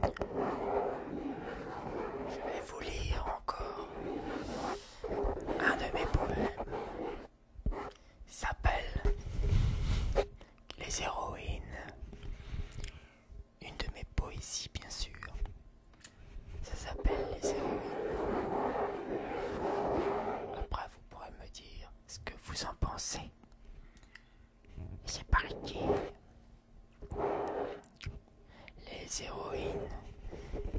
Je vais vous lire encore un de mes poèmes s'appelle les héroïnes. Une de mes poésies, bien sûr. Ça s'appelle Les héroïnes. Après, vous pourrez me dire ce que vous en pensez. C'est parti. Les héroïnes.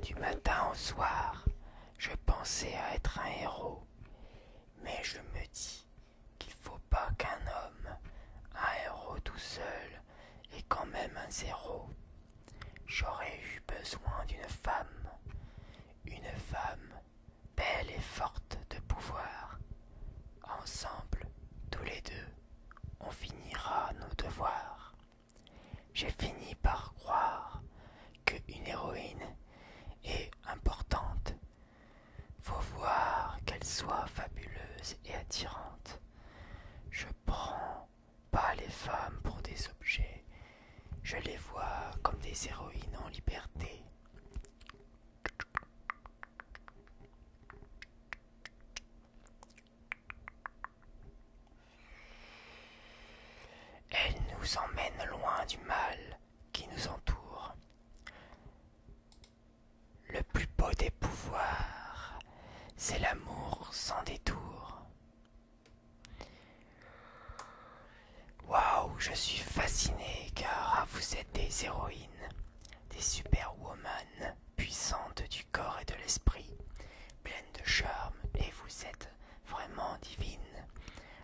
Du matin au soir, je pensais à être un héros. Mais je me dis qu'il ne faut pas qu'un homme, un héros tout seul, ait quand même un zéro. J'aurais eu besoin d'une femme, une femme belle et forte de pouvoir. Ensemble, tous les deux, on finira nos devoirs. J'ai fini par croire qu'une héroïne est importante faut voir qu'elles soient fabuleuses et attirantes. Je ne prends pas les femmes pour des objets, je les vois comme des héroïnes en liberté. Elles nous emmènent loin du mal qui nous entoure. Le plus beau des pouvoirs, c'est l'amour sans détour. Waouh, je suis fasciné car vous êtes des héroïnes, des superwoman, puissantes du corps et de l'esprit, pleines de charme, et vous êtes vraiment divines,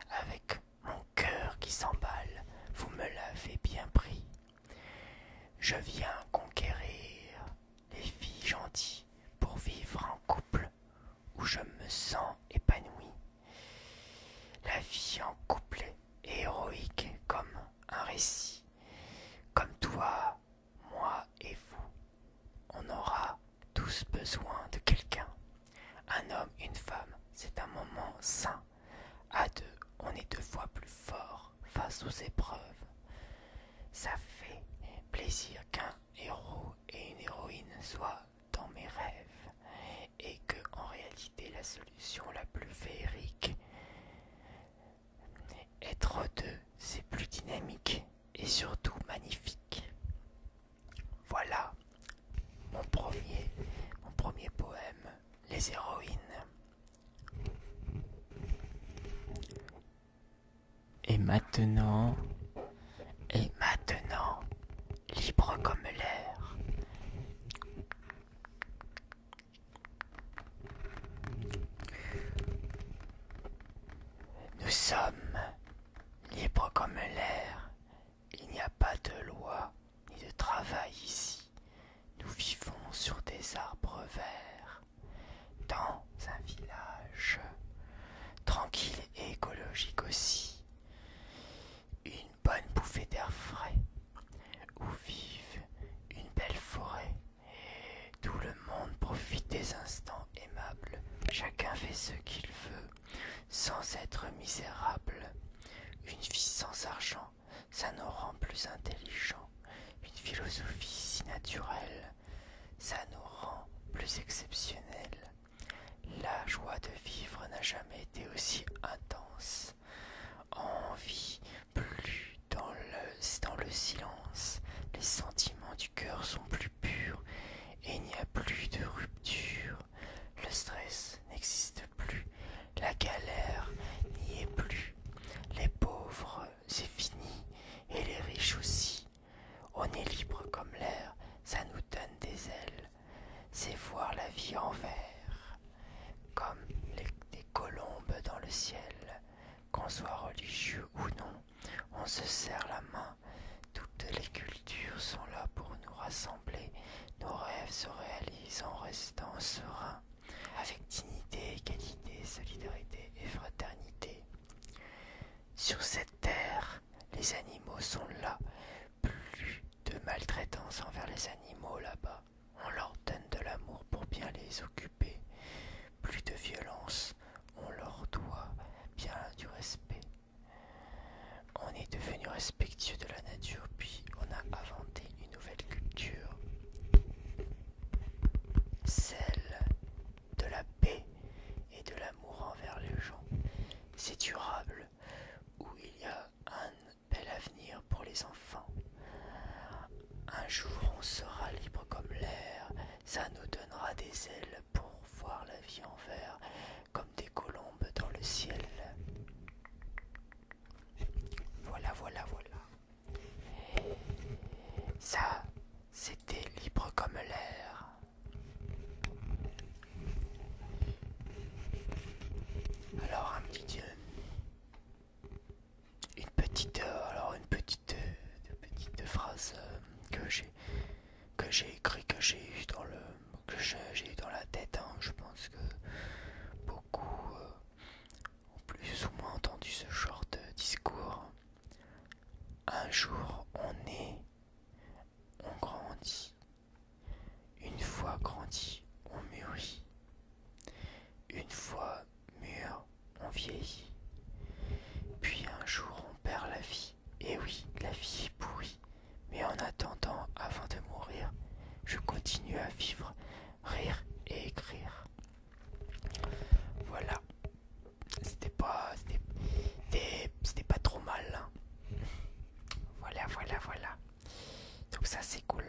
avec mon cœur qui s'emballe, vous me l'avez bien pris. Je viens conquérir les filles gentilles pour vivre en couple où je me sens épanoui. La vie en couple est héroïque comme un récit. Comme toi, moi et vous, on aura tous besoin de quelqu'un. Un homme, une femme, c'est un moment sain à deux, on est deux fois plus fort face aux épreuves. Ça fait plaisir qu'un héros et une héroïne soient dans mes rêves et que, en réalité, la solution la plus féerique, être deux, c'est plus dynamique et surtout magnifique. Voilà mon premier, mon premier poème, Les héroïnes. Et maintenant, et maintenant, libre comme l'air. Nous sommes libres comme l'air, il n'y a pas de loi ni de travail ici. Nous vivons sur des arbres verts, dans un village, tranquille et écologique aussi. Une bonne bouffée d'air frais, où vive une belle forêt. Et Tout le monde profite des instants aimables, chacun fait ce qu'il veut sans être misérable. Une vie sans argent, ça nous rend plus intelligents. Une philosophie si naturelle, ça nous rend plus exceptionnels. La joie de vivre n'a jamais été aussi intense. En vie, plus dans le, dans le silence, les sentiments du cœur sont plus purs et il n'y a plus de rupture. Le stress n'existe plus, la galère n'y est plus, les pauvres, c'est fini, et les riches aussi. On est libre comme l'air, ça nous donne des ailes, c'est voir la vie en vert, comme des colombes dans le ciel. Qu'on soit religieux ou non, on se serre la main, toutes les cultures sont là pour nous rassembler nos rêves se réalisent en restant sereins, avec dignité, égalité, solidarité et fraternité. Sur cette terre, les animaux sont là. Plus de maltraitance envers les animaux là-bas. On leur donne de l'amour pour bien les occuper. Plus de violence, on leur doit bien du respect. On est devenu respectueux de la nature, puis on a inventé une nouvelle culture, celle de la paix et de l'amour envers les gens. C'est durable, où il y a un bel avenir pour les enfants. Un jour on sera libre comme l'air, ça nous donnera des ailes pour voir la vie envers, des colombes dans le ciel. Voilà, voilà, voilà. Ça, c'était libre comme l'air. Alors un petit dieu. Une petite euh, alors une petite, euh, petite phrase euh, que j'ai que j'ai écrit que j'ai eu dans le que j'ai eu dans la tête. Hein. Je pense que beaucoup euh, ont plus ou moins entendu ce genre de discours. Un jour, on est, on grandit. Une fois grandi, on mûrit. Une fois mûr, on vieillit. Puis un jour, on perd la vie. Et oui, la vie est pourrie. Mais en attendant, avant de mourir, je continue à vivre, rire et écrire. Voilà. C'était pas. C'était pas trop mal. Hein. Voilà, voilà, voilà. Donc ça c'est cool.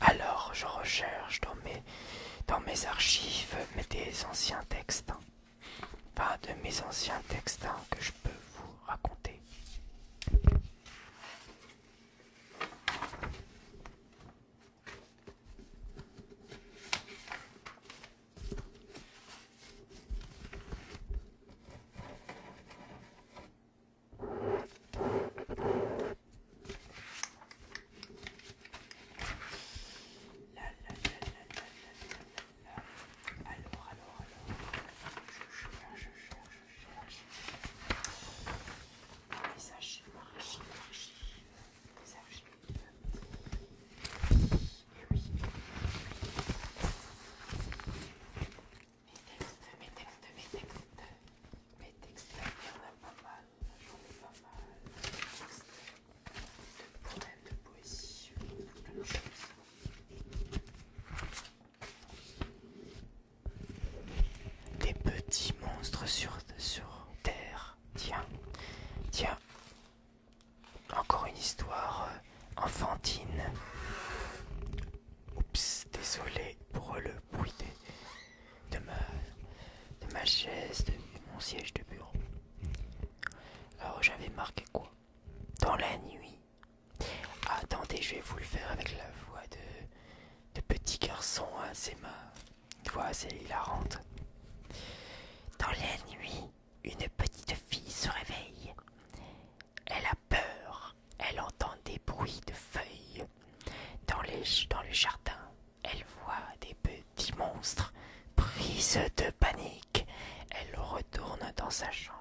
Alors je recherche dans mes, dans mes archives des anciens textes, pas de mes anciens textes que je peux vous raconter. La, la, Alors, alors, alors, je cherche, je cherche, je cherche les archives. Et oui, mes textes, mes textes, mes textes, mes textes, il y en a pas mal, j'en ai pas mal. Textes de poèmes, de poésie, de choses. Des petits monstres sur terre. Tiens, tiens, encore une histoire enfantine. Euh, Oups, désolé pour le bruit de, ma, de ma chaise, de mon siège de bureau. Alors j'avais marqué quoi Dans la nuit. Attendez, je vais vous le faire avec la voix de, de petit garçon. Hein, c'est ma voix assez hilarante. Dans la nuit, une petite fille se réveille. Elle a peur, elle entend des bruits de feuilles. Dans, les, dans le jardin, elle voit des petits monstres. Prise de panique, elle retourne dans sa chambre.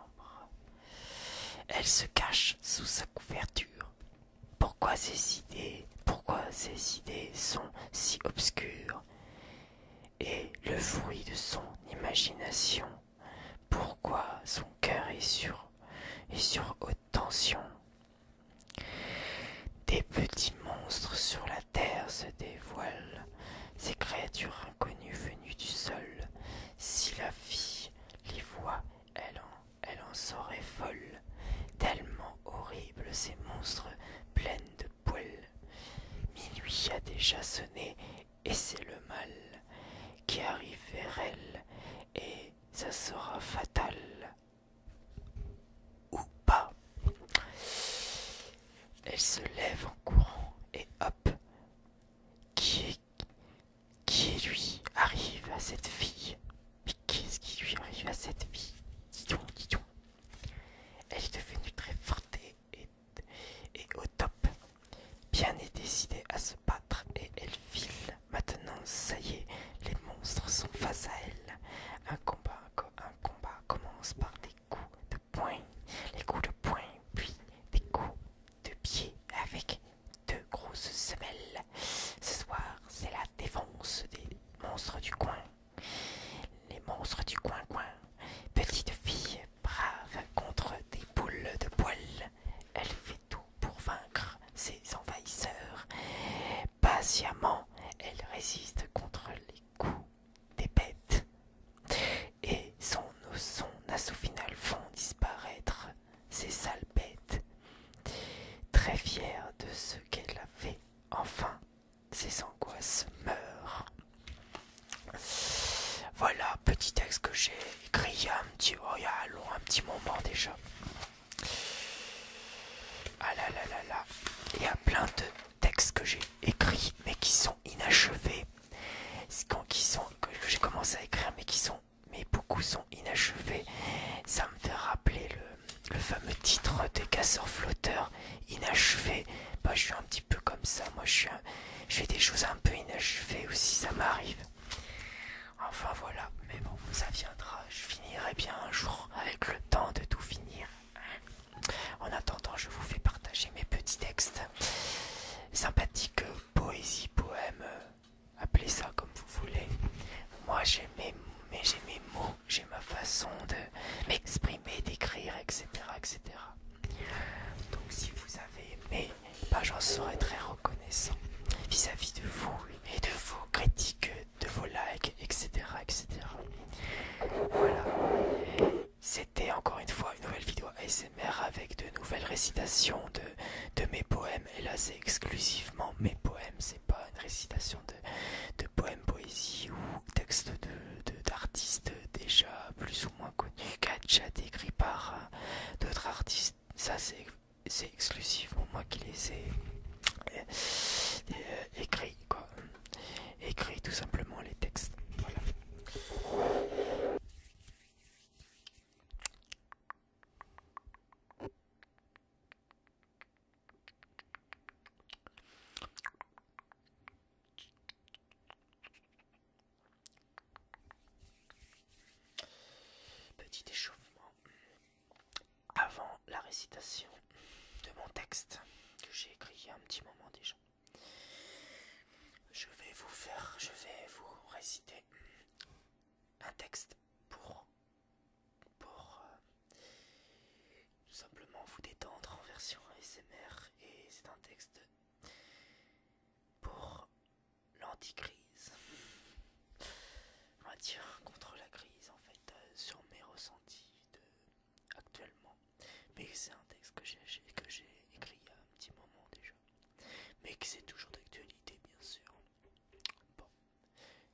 Elle se cache sous sa couverture. Pourquoi ces idées, pourquoi ces idées sont si obscures et le fruit de son imagination. Pourquoi son cœur est sur, est sur haute tension Des petits monstres sur la terre se dévoilent, ces créatures inconnues venues du sol. Si la vie les voit, elle en, elle en serait folle. Tellement horribles ces monstres, pleins de poêle. Minuit a déjà sonné, et c'est le mal qui arrive vers elle, et ça sera fatal. Ou pas. Elle se lève en courant, et hop, qui est lui arrive à cette fille Mais qu'est-ce qui lui arrive à cette fille Dis donc, elle est devenue très forte et, au top. Bien est décidée à se battre et elle file. Maintenant, ça y est, les monstres sont face à elle. Un combat, un combat commence par des coups de poing, les coups de poing, puis des coups de pied avec deux grosses semelles. Ce soir, c'est la défense des monstres du coin. Les monstres du coin-coin, petite fille brave contre des boules de poil, elle fait tout pour vaincre ses envahisseurs. Patiemment, elle résiste contre les coups des bêtes et son, son assaut final font disparaître ces sales bêtes. Très fière de ce qu'elle a fait, enfin, ces angoisses meurent. Voilà, petit texte que j'ai écrit il y a un petit, oh, un petit moment déjà. Ah là là là là, il y a plein de textes que j'ai écrits mais qui sont inachevés. Quand, sont, que j'ai commencé à écrire mais qui sont, mais beaucoup sont inachevés. Ça me fait rappeler le fameux titre des casseurs flotteurs inachevé. Bah, je suis un petit peu comme ça. Moi, je, suis je fais des choses un peu inachevées aussi, ça m'arrive. Enfin voilà, mais bon, ça viendra. Je finirai bien un jour avec le temps de tout finir. En attendant, je vous fais partager mes petits textes Sympathique poésie, poème, appelez ça comme vous voulez. Moi, j'ai mes, j'ai mes mots, ma façon de m'exprimer, d'écrire, etc., etc. Donc si vous avez aimé, bah, j'en serais très reconnaissant vis-à-vis de vous et de vos critiques, de vos likes, etc., etc. Voilà. C'était encore une fois une nouvelle vidéo ASMR avec de nouvelles récitations de, de mes poèmes. Et là, c'est exclusivement mes poèmes, c'est pas une récitation de de, poèmes, poésie ou textes d'artistes déjà plus ou moins connus, qu'a écrit par euh, d'autres artistes. Ça, c'est exclusivement moi qui les ai euh, euh, écrits, quoi. Écrit tout simplement les textes. Petit échauffement avant la récitation de mon texte que j'ai écrit il y a un petit moment déjà. Je vais vous faire, je vais vous réciter un texte pour pour euh, tout simplement vous détendre en version ASMR et c'est un texte pour l'anticrise. On va dire contre la crise en fait euh, sur mes ressentis de... actuellement. Mais c'est un texte que j'ai écrit il y a un petit moment déjà. Mais qui c'est toujours d'actualité bien sûr. Bon,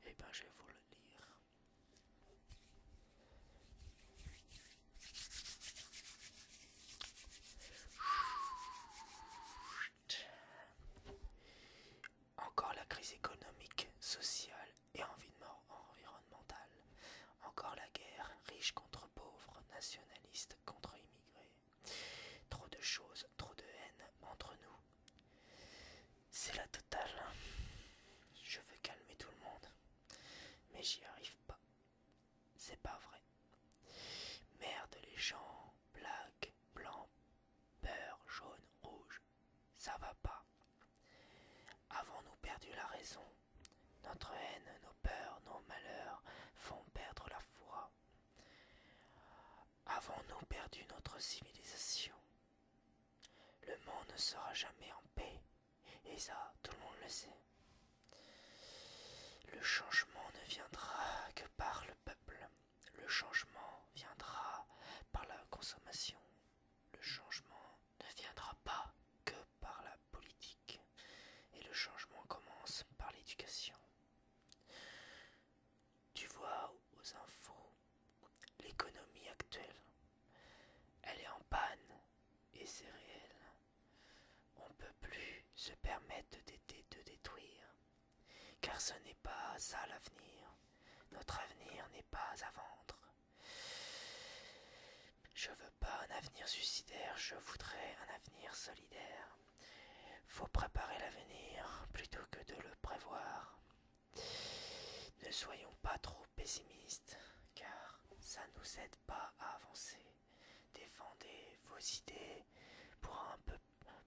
et eh ben je vais vous le lire. Encore la crise économique, sociale et environnementale. Encore la guerre, riche contre pauvre, nationaliste contre immigrés. Trop de choses, trop de haine entre nous. C'est la totale. Je veux calmer tout le monde. Mais j'y arrive pas. C'est pas vrai. Merde les gens, black, blanc, peur, jaune, rouge, ça va pas. Avons-nous perdu la raison Notre haine, nos peurs, nos malheurs font perdre la foi. Avons-nous perdu notre civilisation Le monde ne sera jamais en paix. Et ça, tout le monde le sait. Le changement ne viendra que par le peuple. Le changement viendra par la consommation. Le changement ne viendra pas que par la politique. Et le changement commence par l'éducation. Tu vois aux infos l'économie actuelle. Elle est en panne et c'est réel. On ne peut plus se permettre de, détruire, car ce n'est pas ça l'avenir. Notre avenir n'est pas à vendre. Je veux pas un avenir suicidaire, je voudrais un avenir solidaire. Faut préparer l'avenir plutôt que de le prévoir. Ne soyons pas trop pessimiste car ça nous aide pas à avancer. Défendez vos idées pour un peu,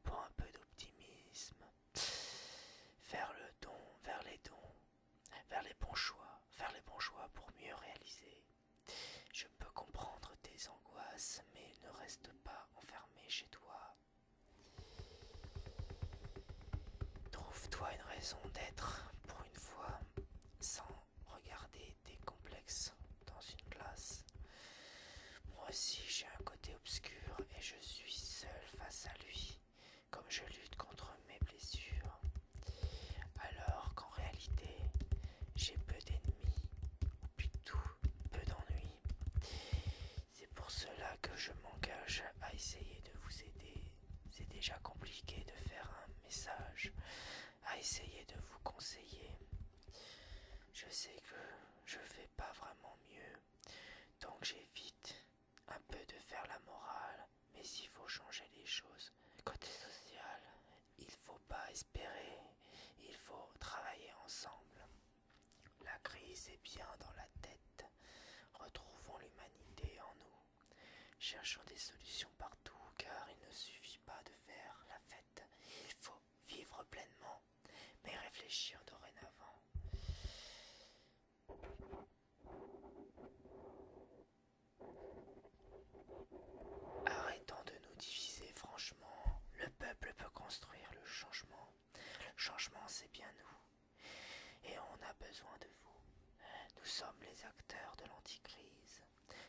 pour un peu d'optimisme. Faire le don, vers les dons, vers les bons choix, faire les bons choix pour mieux réaliser. Je peux comprendre tes angoisses, mais ne reste pas enfermé chez toi. Trouve-toi une raison d'être pour une fois, sans regarder des complexes dans une classe. Moi aussi j'ai un côté obscur et je suis seul face à lui, comme je lutte contre mes blessures. Alors qu'en réalité, j'ai peu d'ennemis, ou tout, peu d'ennuis. C'est pour cela que je m'engage à essayer de vous aider c'est déjà compliqué de faire un message à essayer de vous conseiller. Je sais que je fais pas vraiment mieux, donc j'évite un peu de faire la morale, mais il faut changer les choses. Côté social, il faut pas espérer, il faut travailler ensemble. La crise est bien dans la tête. Retrouvons l'humanité en nous. Cherchons des solutions partout, car il ne suffit pas de faire la fête. Il faut vivre pleinement, mais réfléchir dorénavant. Arrêtons de nous diviser franchement. Le peuple peut construire le changement. Le changement, c'est bien nous. Et on a besoin de vous. Nous sommes les acteurs de l'anticrise.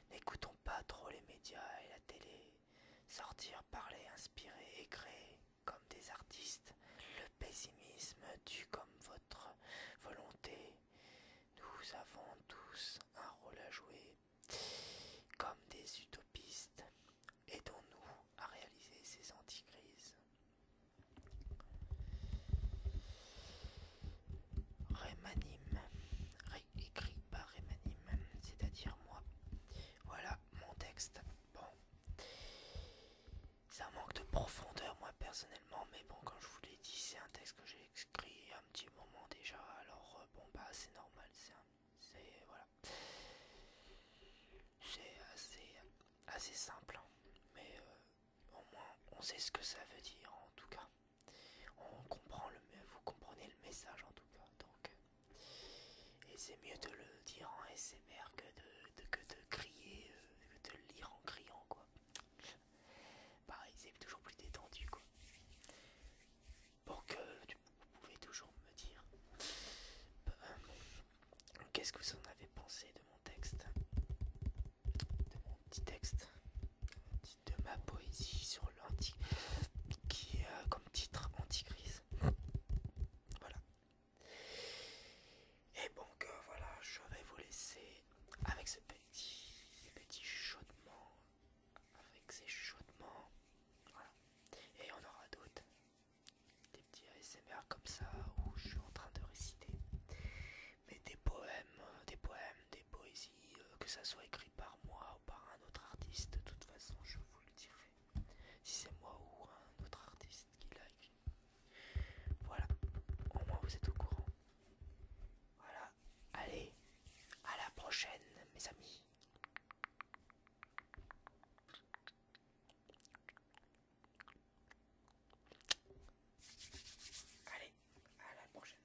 N'écoutons pas trop les médias et la télé. Sortir, parler, inspirer et créer comme des artistes. Le pessimisme tue comme votre volonté. Nous avons tous un rôle à jouer comme des utopistes. Aidons-nous à réaliser ces anti-crises rémanime réécrit par rémanime c'est-à-dire moi. Voilà mon texte. Bon, ça manque de profondeur, moi personnellement, mais bon, comme je vous l'ai dit, c'est un texte que j'ai écrit un petit moment déjà, alors euh, bon, bah c'est normal, c'est voilà, c'est assez, assez simple, hein. mais euh, au moins on sait ce que ça veut dire en tout cas. On comprend le, vous comprenez le message en tout cas. Donc, euh, et c'est mieux de le dire en SMR que de, que de crier, euh, de le lire en criant quoi. Pareil, c'est toujours plus détendu quoi. Pour euh, que vous pouvez toujours me dire qu'est-ce que vous en avez pensé de mon texte de mon petit texte, de ma poésie sur l'anti, qui a euh, comme titre anti Voilà. Et donc euh, voilà, je vais vous laisser avec ce petit, petit chaudement, avec ces chaudements, voilà. Et on aura d'autres, des petits ASMR comme ça où je suis en train de réciter mais des poèmes, euh, des poèmes, des poésies, euh, que ça soit écrit par moi ou par un autre artiste, de toute façon je vous le dirai, si c'est moi ou un autre artiste qui l'a écrit. Voilà, au moins vous êtes au courant. Voilà, allez, à la prochaine mes amis. Allez, à la prochaine.